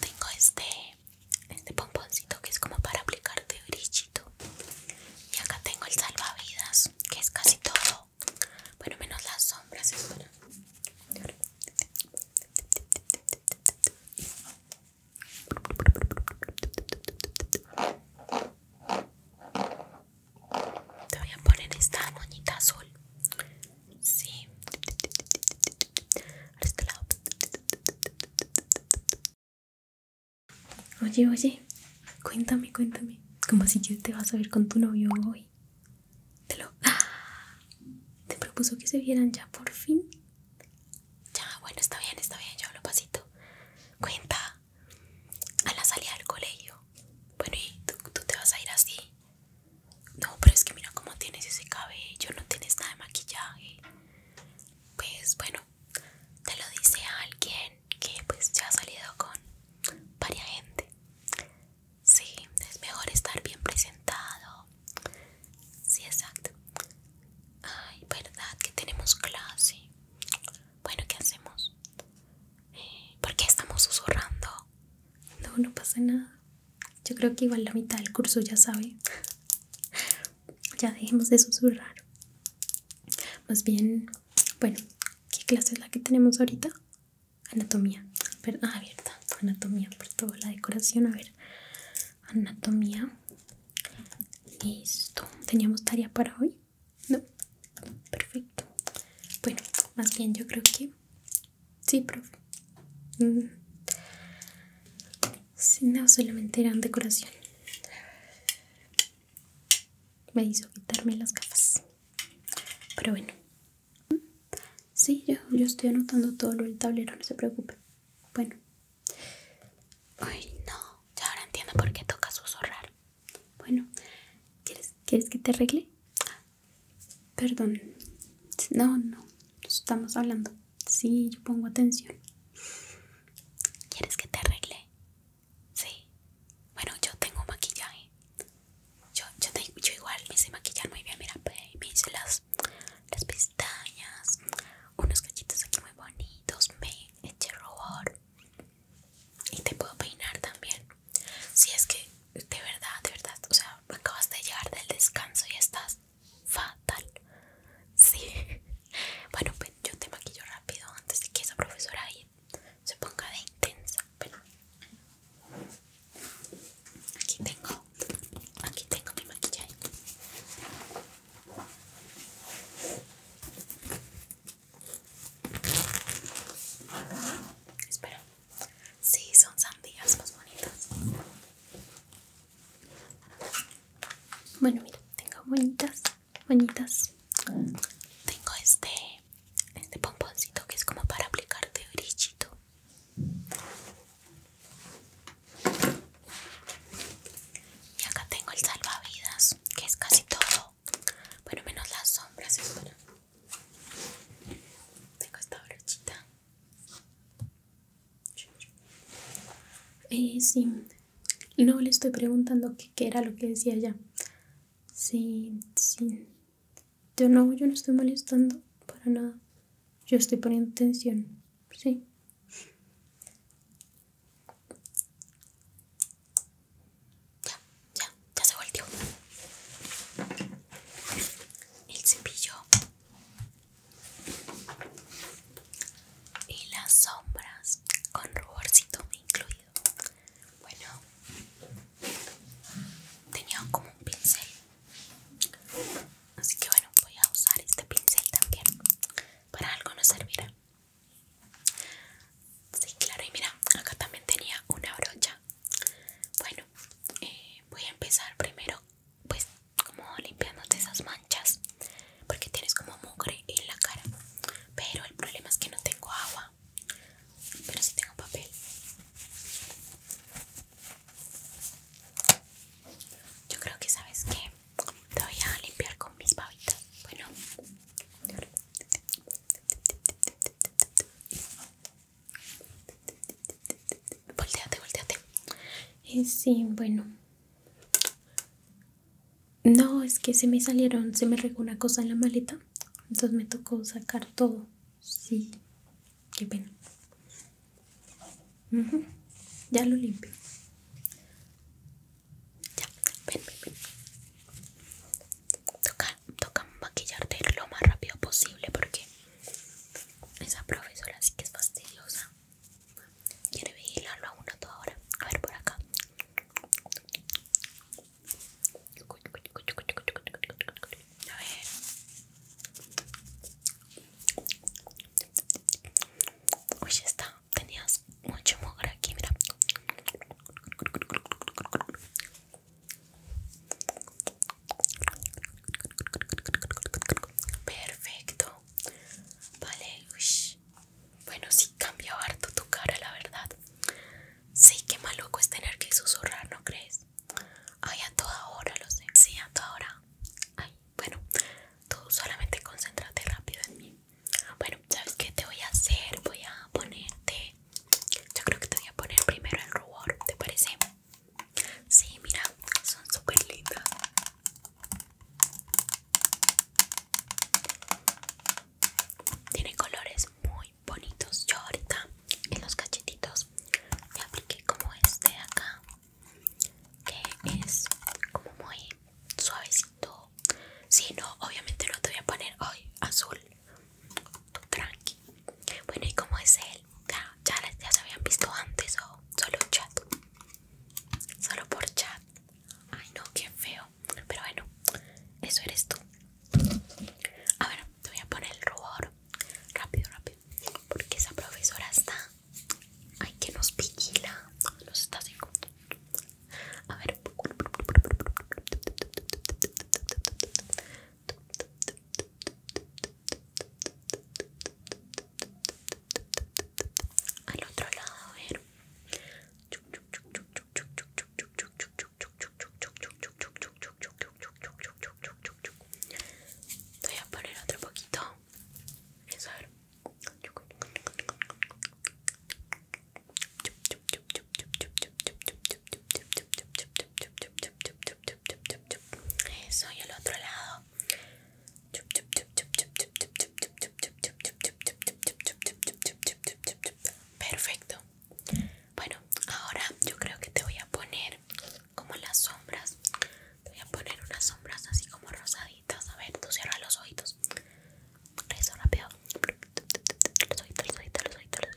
Tengo este Este pomponcito que es como para aplicarte brillito Y acá tengo el salvavidas Que es casi todo Bueno, menos las sombras Te voy a poner esta moñita azul Sí. Oye, oye, cuéntame, cuéntame. Como si que te vas a ver con tu novio hoy. Te lo. ¡ah! Te propuso que se vieran ya por fin. Ya, bueno, está bien, está bien, yo lo pasito. Cuenta. A la salida del colegio. Bueno, y tú te vas a ir así. No, pero es que mira cómo tienes ese cabello, no tienes nada de maquillaje. Pues bueno, te lo dice alguien que pues ya ha salido con varia gente. Sí, es mejor estar bien presentado. Sí, exacto. Ay, verdad que tenemos clase. Bueno, ¿qué hacemos? Eh, ¿Por qué estamos susurrando? No, no pasa nada. Yo creo que igual la mitad del curso ya sabe. ya dejemos de susurrar. Más bien, bueno, ¿qué clase es la que tenemos ahorita? Anatomía. ah, verdad. Anatomía por toda la decoración. A ver. Anatomía. Listo. ¿Teníamos tarea para hoy? No. Perfecto. Bueno, más bien yo creo que Sí, profe. Si no, solamente eran decoración. Me hizo quitarme las gafas. Pero bueno. Sí, yo, estoy anotando todo lo del tablero, no se preocupe. Bueno. Ay, no. Ya ahora entiendo por qué toca susurrar. Bueno, ¿quieres, ¿quieres que te arregle? Perdón. No, no. Estamos hablando. Sí, yo pongo atención. ¿Quieres que te arregle? Sí. Bueno, yo tengo maquillaje. Yo, yo, te, igual me sé maquillar muy bien. Mira, me hice las, las pestañas. Unos cachitos aquí muy bonitos. Me eché rubor. Y te puedo peinar también. Si es que de verdad, de verdad. O sea, acabas de llegar del descanso y estás fatal. Sí. Bueno, pues yo te maquillo rápido antes de que esa profesora se ponga de intensa. Pero aquí tengo, aquí tengo mi maquillaje. Espera. Sí, son sandías más bonitas. Bueno, mira, tengo bonitas, bonitas. Tengo este, este pomponcito que es como para aplicarte brillito. Y acá tengo el salvavidas, que es casi todo. Bueno, menos las sombras, es Tengo esta brochita. Eh, sí, no le estoy preguntando qué, era lo que decía ya. Sí, sí. Yo no, yo no estoy molestando para nada. Yo estoy poniendo tensión. Sí. Ya, ya, ya se volteó. El cepillo y las sombras con ruborcito incluido bueno tenía como un pincel así que bueno voy a usar este pincel también para algo no servirá sí claro y mira acá también tenía una brocha bueno eh, voy a empezar primero pues como limpiándote esas manchas porque tienes como mugre en la cara pero el problema es que no tengo agua pero sí tengo papel yo creo que sabes que te voy a limpiar con mis babitas bueno Volteate, volteate. Eh, sí, bueno. No, es que se me salieron, se me regó una cosa en la maleta. Entonces me tocó sacar todo. Sí, qué pena. Ya lo limpio. Ya, ven, ven, ven. Toca, toca maquillarte lo más rápido posible porque esa profesora sí que es fastidiosa. Quiere vigilarlo a uno toda hora. A ver por acá. A está. Tenías mucho mugre aquí, mira. Perfecto. Vale, Bueno, sí cambia harto tu cara, la verdad. Sí, qué maluco es tener que susurrar, ¿no crees? Ay, a toda hora, lo sé. Sí, a toda hora. Ay, bueno, tú solamente concéntrate rápido en mí. Bueno, ¿sabes qué te voy a hacer? Voy a ponerte... Yo creo que te voy a poner primero el rubor, ¿te parece? Sí, mira, son super lindas. Tiene colores muy bonitos. Yo ahorita en los cachetitos me apliqué como este de acá, que es como muy suavecito. Si no, obviamente lo te voy a poner hoy azul. Tranqui. Bueno, y como es el ya, se habían visto antes o solo chat. Solo por chat. Ay no, qué feo. Pero bueno, eso eres tú. A ver, te voy a poner el rubor. Rápido, rápido. Porque esa profesora está. Ay, que nos vigila. Nos está así. A ver al otro lado a voy a poner otro poquito eso eso y al otro lado. Perfecto. Bueno, ahora yo creo que te voy a poner como las sombras. Te voy a poner unas sombras así como rosaditas. A ver, tú cierra los ojitos. Eso rápido. Los ojitos, los ojitos, los ojitos, los ojitos. espera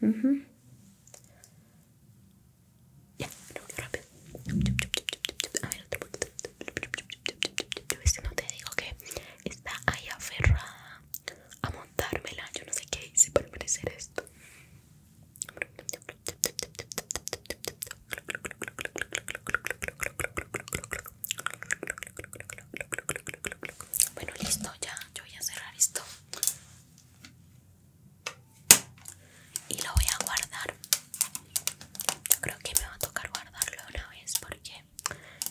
voy Ya, rápido. A ver, no te digo que está ahí aferrada a montármela. Yo no sé qué hice para merecer esto. Bueno, listo, ya. Yo voy a cerrar esto y lo voy a guardar yo creo que me va a tocar guardarlo una vez porque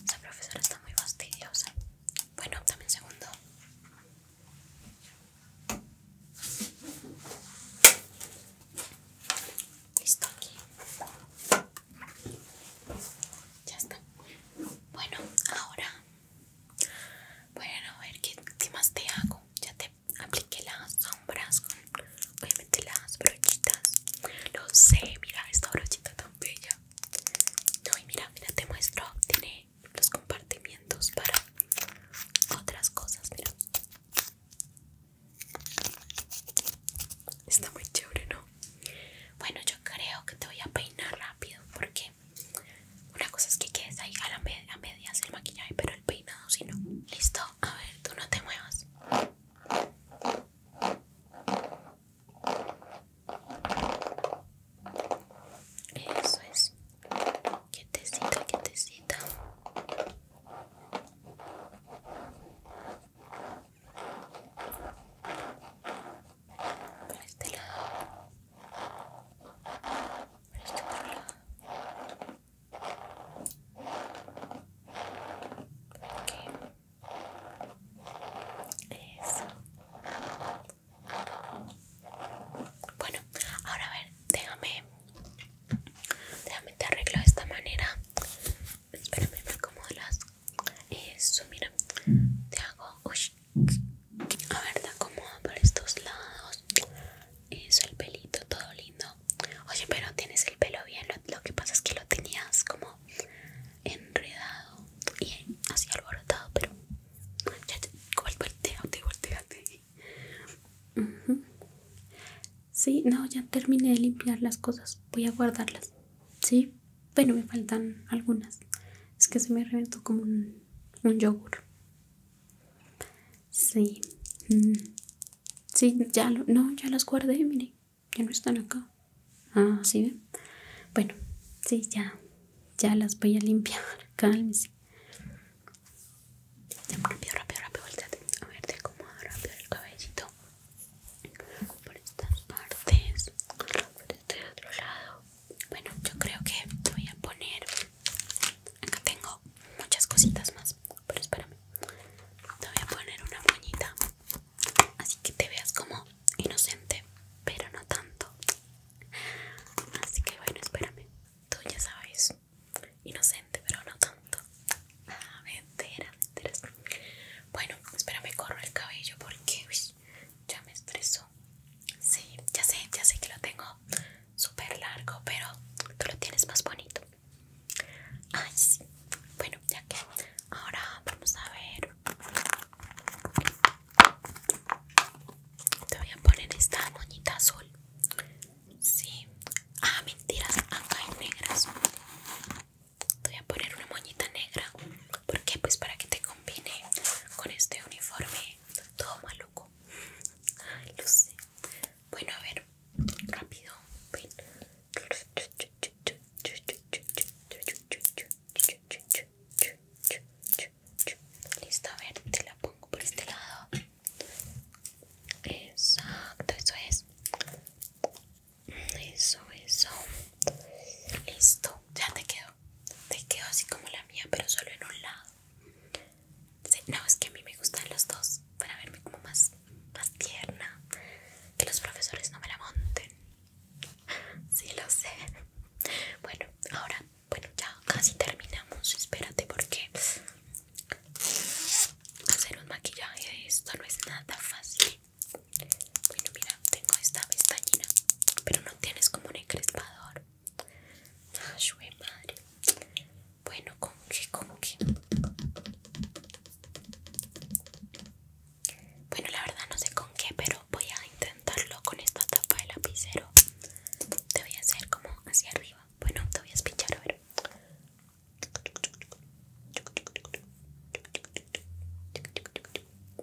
esa profesora está muy fastidiosa bueno también segundo listo aquí ya está bueno ahora bueno, a ver ¿qué, más te hago. Ya te apliqué las sombras con obviamente las brochitas. Lo sé, mira esta brochita tan bella. No, y mira, mira, te muestro. Tiene los compartimientos para otras cosas, mira. Está muy chévere, ¿no? Bueno, yo creo que te voy a peinar rápido porque una cosa es que quedes ahí a, la medias el maquillaje, pero el peinado si no. Listo, a ver, tú no te muevas. Eso es. Quietecita, quietecita por este lado, por este otro lado, eso. Bueno, ahora a ver, déjame, déjame te arreglo de esta manera. Espérame, me acomodo las. Eso, mira, te hago. Uy, a ver, te cómodo por estos lados. Eso, el pelito, todo lindo. Oye, pero tienes el pelo bien. Lo, que pasa es que lo tenías como enredado y así alborotado, pero. Ya, ya, volteate, volteate. Sí, no, ya terminé de limpiar las cosas. Voy a guardarlas. Sí, bueno, me faltan algunas. Es que se me reventó como un un yogur. Sí. Mm. Sí, ya lo, no, ya las guardé, miren, ya no están acá. Ah, sí ven. Bueno, sí, ya. Ya las voy a limpiar. Cálmese. Rápido, rápido, rápido, volteate. A ver, te acomodo rápido el cabellito. Por estas partes. Por este otro lado. Bueno, yo creo que voy a poner. Acá tengo muchas cositas más, pero espérame. Te voy a poner una moñita, así que te veas como inocente, pero no tanto. Así que bueno, espérame. Tú ya sabes, inocente, pero no tanto. A ah, ver, Bueno, espérame, corro el cabello porque ya me estresó. Sí, ya sé, ya sé que lo tengo súper largo, pero tú lo tienes más bonito. Ay, sí. Bueno, ya que ahora vamos a ver. Te voy a poner esta moñita azul. Sí. Ah, mentiras, acá hay negras. Te voy a poner una moñita negra. ¿Por qué? Pues para que te combine con este uniforme todo maluco. Ay, lo sé. Bueno, a ver, rápido. Listo, a ver, te la pongo por este lado. Exacto, eso es. Eso, eso. Listo, ya te quedó te quedó así como la mía, pero solo en un lado. no, es que a mí me gustan los dos para verme como más, más tierna. Que los profesores no me la monten. Sí, lo sé. Bueno, ahora, bueno, ya casi terminamos. Espérate, porque hacer un maquillaje esto no es nada fácil. Bueno, mira, tengo este, esta pestañina, pero no tienes como un encrespador. Ah, madre. Bueno, ¿con qué? ¿Con qué? Bueno, la verdad no sé con qué, pero voy a intentarlo con esta tapa de lapicero. Te voy a hacer como hacia arriba. Bueno, te voy a espinchar, a ver.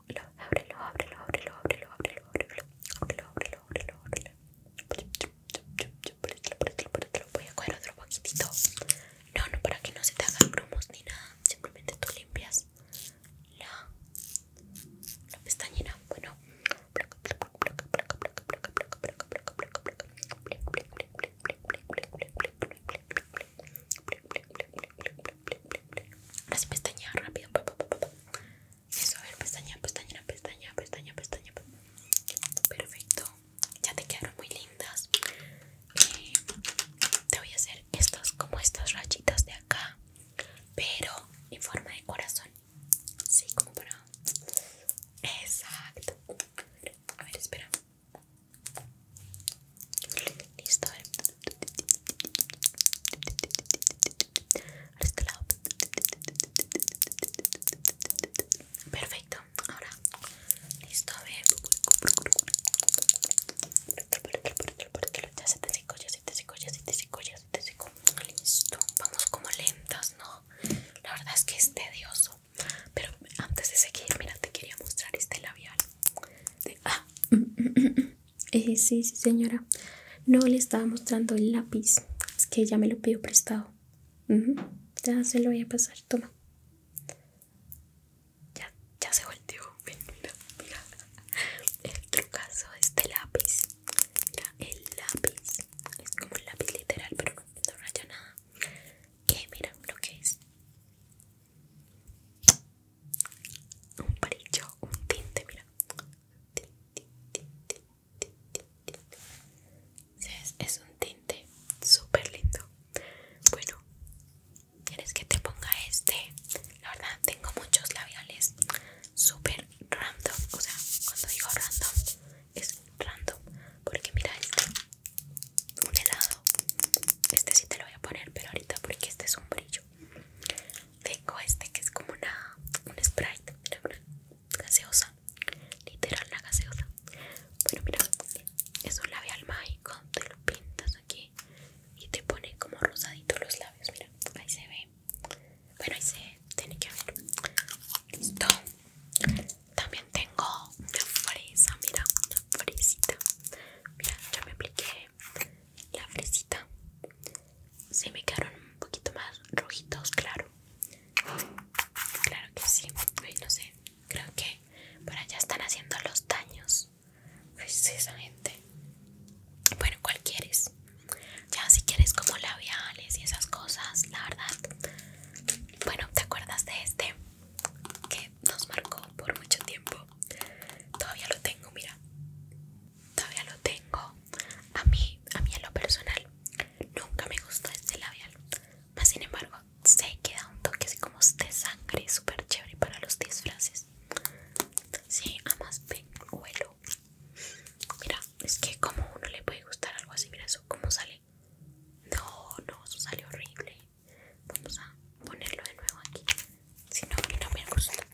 ábrelo, lo, ábrelo, ábrelo, ábrelo, ábrelo, ábrelo, ábrelo, ábrelo, ábrelo, ábrelo, ábrelo. Voy a coger otro poquitito. No, no, para que no se te hagan grumos ni nada. Simplemente tú limpias la, la pestañina. Bueno. Ahora sí pestaña rápido. Eso, a ver, pestaña, pestaña, pestaña, pestaña, pestaña. Perfecto. Ya te quedaron muy lindas. Eh, te voy a hacer estas como estas rachitas de acá. Pero en forma de corazón. Sí, como para. Exacto. A ver, espera. Listo, a ver. este lado. Perfecto, ahora. Listo, a ver. Ya se te ya se te secó, ya se te secó, te Listo, vamos como lentas, ¿no? La verdad es que es tedioso. Pero antes de seguir, mira, te quería mostrar este labial. De, ah. Eh, sí, sí, señora. No le estaba mostrando el lápiz. Es que ya me lo pidió prestado. Ya se lo voy a pasar. Toma. Ya, se volteó. Mira, mira. El trucazo de este lápiz. Mira, el lápiz. Es como un lápiz literal, pero no, raya nada. ¿Qué? mira lo que es un palillo un tinte, mira. Es un tinte súper lindo. Bueno, ¿quieres que te ponga este? La verdad, tengo muchos labiales súper random. O sea, cuando digo random, es random. Porque mira este: un helado este sí te lo voy a poner, pero ahorita porque este es un brillo. Tengo este que es como una un sprite, mira, una gaseosa. Literal la gaseosa. Bueno, mira, es un labial mágico, te lo pintas aquí y te pone como rosadito los labios, mira, ahí se ve. Bueno, ahí se tiene que ver. Listo. También tengo una fresa, mira, una fresita. Mira, ya me apliqué la fresita se me quedaron un poquito más rojitos, claro. Claro que sí. no sé. Creo que para allá están haciendo los daños. precisamente pues Bueno, ¿cuál quieres? Ya si quieres como labiales y esas cosas, la verdad. Bueno, ¿te acuerdas de este? Que nos marcó por mucho tiempo. Todavía lo tengo, mira. Todavía lo tengo. A mí, a mí a lo personal, nunca me gustó este labial. Más sin embargo, sé que da un toque así como de sangre, súper chévere para los disfraces. Sí, además Mira, es que como uno le puede gustar algo así, mira eso, cómo sale. No, no, eso sale horrible vamos a ponerlo de nuevo aquí si no, no me gusta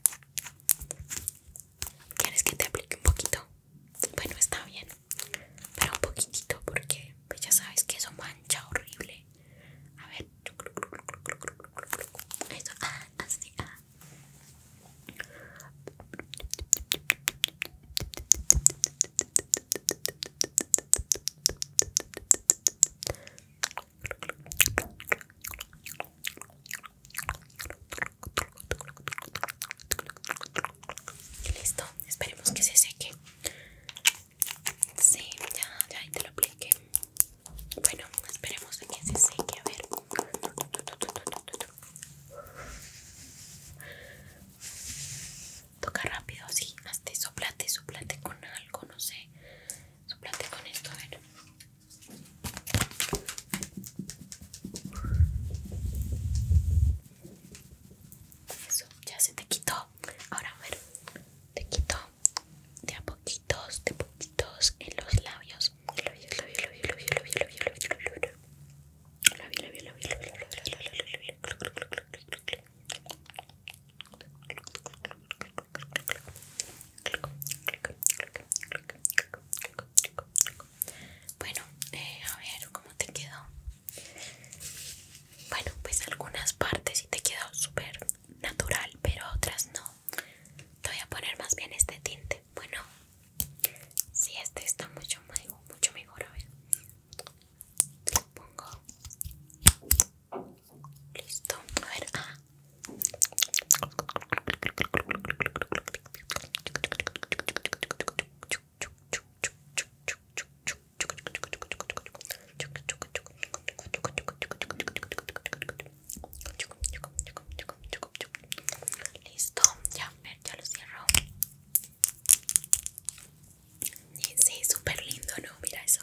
¿quieres que te aplique un poquito? bueno, está bien pero un poquitito porque pues, ya sabes que eso mancha horrible a ver eso, ah, así, ah listo, esperemos que se seque. Sí, ya, ya te lo apliqué. Bueno, esperemos que se seque, a ver. Toca rápido, así hazte, soplate, soplate con algo, no sé suplante con esto, a ver. Eso, ya se te quitó. Ahora, a ver, te quito de a poquitos, de poquitos en los labios bueno, eh, a ver cómo te quedó. Bueno, pues algunas partes sí te quedó súper natural, pero otras no. Te voy a poner más bien este tinte. Bueno, si sí, este está mucho, mucho mejor. A ver, pongo. Listo, a ver. Ah. Listo, ya, ya lo cierro. Sí, súper lindo, ¿no? Mira eso.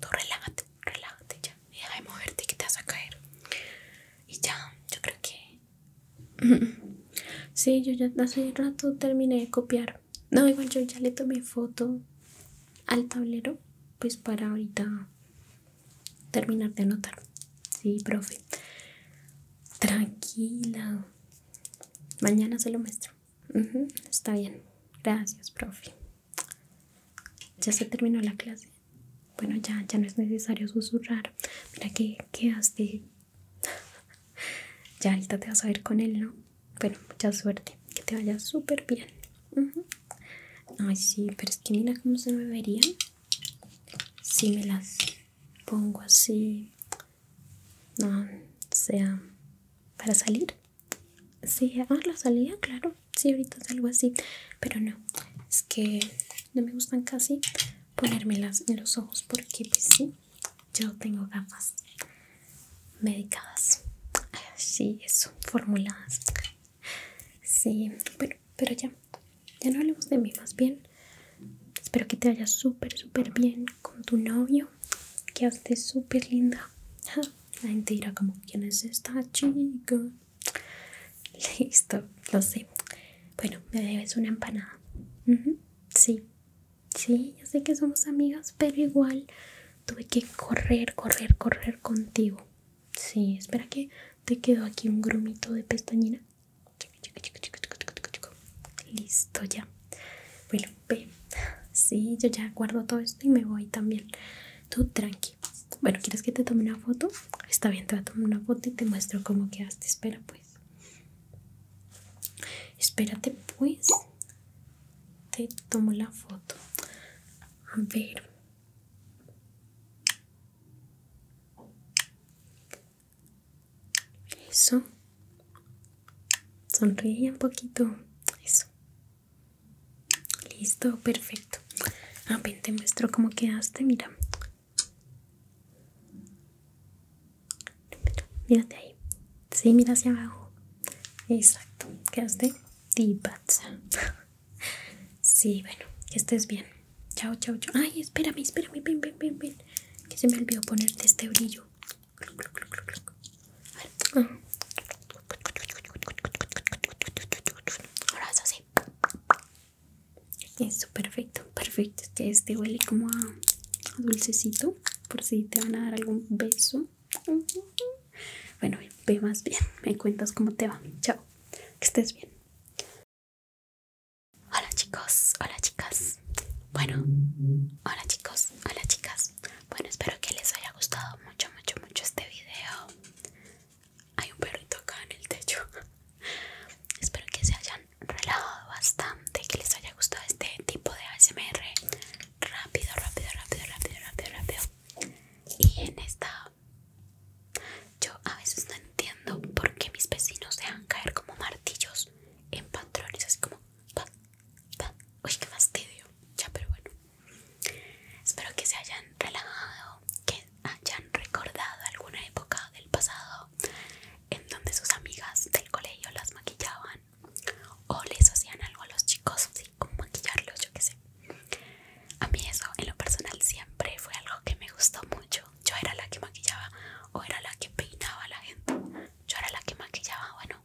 Tú relájate, relájate ya. Deja de moverte que te vas a caer. Y ya, yo creo que. Sí, yo ya hace rato terminé de copiar. No, igual yo ya le tomé foto al tablero, pues para ahorita terminar de anotar. Sí, profe. Tranquila. Mañana se lo muestro. está bien. Gracias, profe. Ya se terminó la clase. Bueno, ya, ya no es necesario susurrar. Mira que quedaste. ya ahorita te vas a ver con él, ¿no? Bueno, mucha suerte. Que te vaya súper bien. Ay, sí, pero es que mira cómo se me vería. Si me las pongo así. No, sea para salir. Sí, ah, la salida, claro. Sí, ahorita es algo así. Pero no, es que no me gustan casi ponérmelas en los ojos porque, pues sí, yo tengo gafas medicadas. Sí, eso, formuladas. Sí, pero ya, ya no hablemos de mí, más bien. Espero que te vaya súper, súper bien con tu novio. Que estés súper linda. La gente como, ¿quién es esta chica? Listo, lo sé. Bueno, me debes una empanada. Sí, sí, yo sé que somos amigas, pero igual tuve que correr, correr, correr contigo. Sí, espera que te quedó aquí un grumito de pestañina. Listo, ya. Bueno, Sí, yo ya guardo todo esto y me voy también. Tú tranqui. Bueno, ¿quieres que te tome una foto? Está bien, te voy a tomar una foto y te muestro cómo quedaste. Espera, pues. Espérate, pues. Te tomo la foto. A ver. Eso. Sonríe un poquito. Eso. Listo, perfecto. A ah, ver, te muestro cómo quedaste, mira. Mírate ahí. Sí, mira hacia abajo. Exacto. Quedaste divaza. Sí, bueno, que estés bien. Chao, chao, chao. Ay, espérame, espérame, ven, ven, ven. Que se me olvidó ponerte este brillo. Ahora eso así Eso, perfecto, perfecto. Es que este huele como a dulcecito. Por si te van a dar algún beso. Bueno, ve más bien. Me cuentas cómo te va. Chao. Que estés bien. Hola chicos, hola chicas. Bueno, hola chicos, hola chicas. Bueno, espero que les haya gustado mucho, mucho, mucho este video. Hay un perrito acá en el techo. Espero que se hayan relajado bastante, que les haya gustado este tipo de ASMR. Rápido, rápido, rápido, rápido, rápido, rápido. Y en esta... Yo a veces no entiendo por qué mis vecinos dejan caer como martillos en patrones, así como... Uy, qué fastidio. Ya, pero bueno. Espero que se hayan relajado, que hayan recordado alguna época del pasado en donde sus amigas del colegio las maquillaban o les hacían algo a los chicos, sí, como maquillarlos, yo qué sé. A mí eso en lo personal siempre fue algo que me gustó mucho. Yo era la que maquillaba o era la que peinaba a la gente. Yo era la que maquillaba, bueno,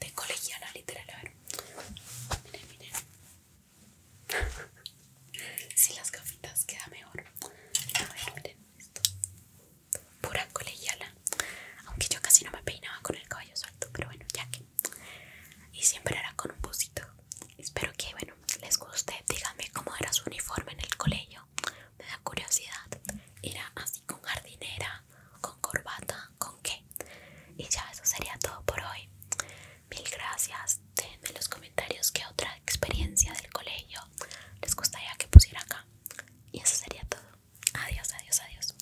de colegiala literal. A ver, miren, miren. Si las gafitas queda mejor. A ver, miren esto. Pura colegiala. Aunque yo casi no me peinaba con el cabello suelto, pero bueno, ya que. Y siempre era con un puzito Espero que, bueno, les guste. Díganme cómo era su uniforme en el colegio. Me da curiosidad. Era así con jardinera, con corbata, con qué. Y ya eso sería todo por hoy. Mil gracias. Déjenme en los comentarios qué otra experiencia del colegio les gustaría que pusiera acá. Y eso sería todo. Adiós, adiós, adiós.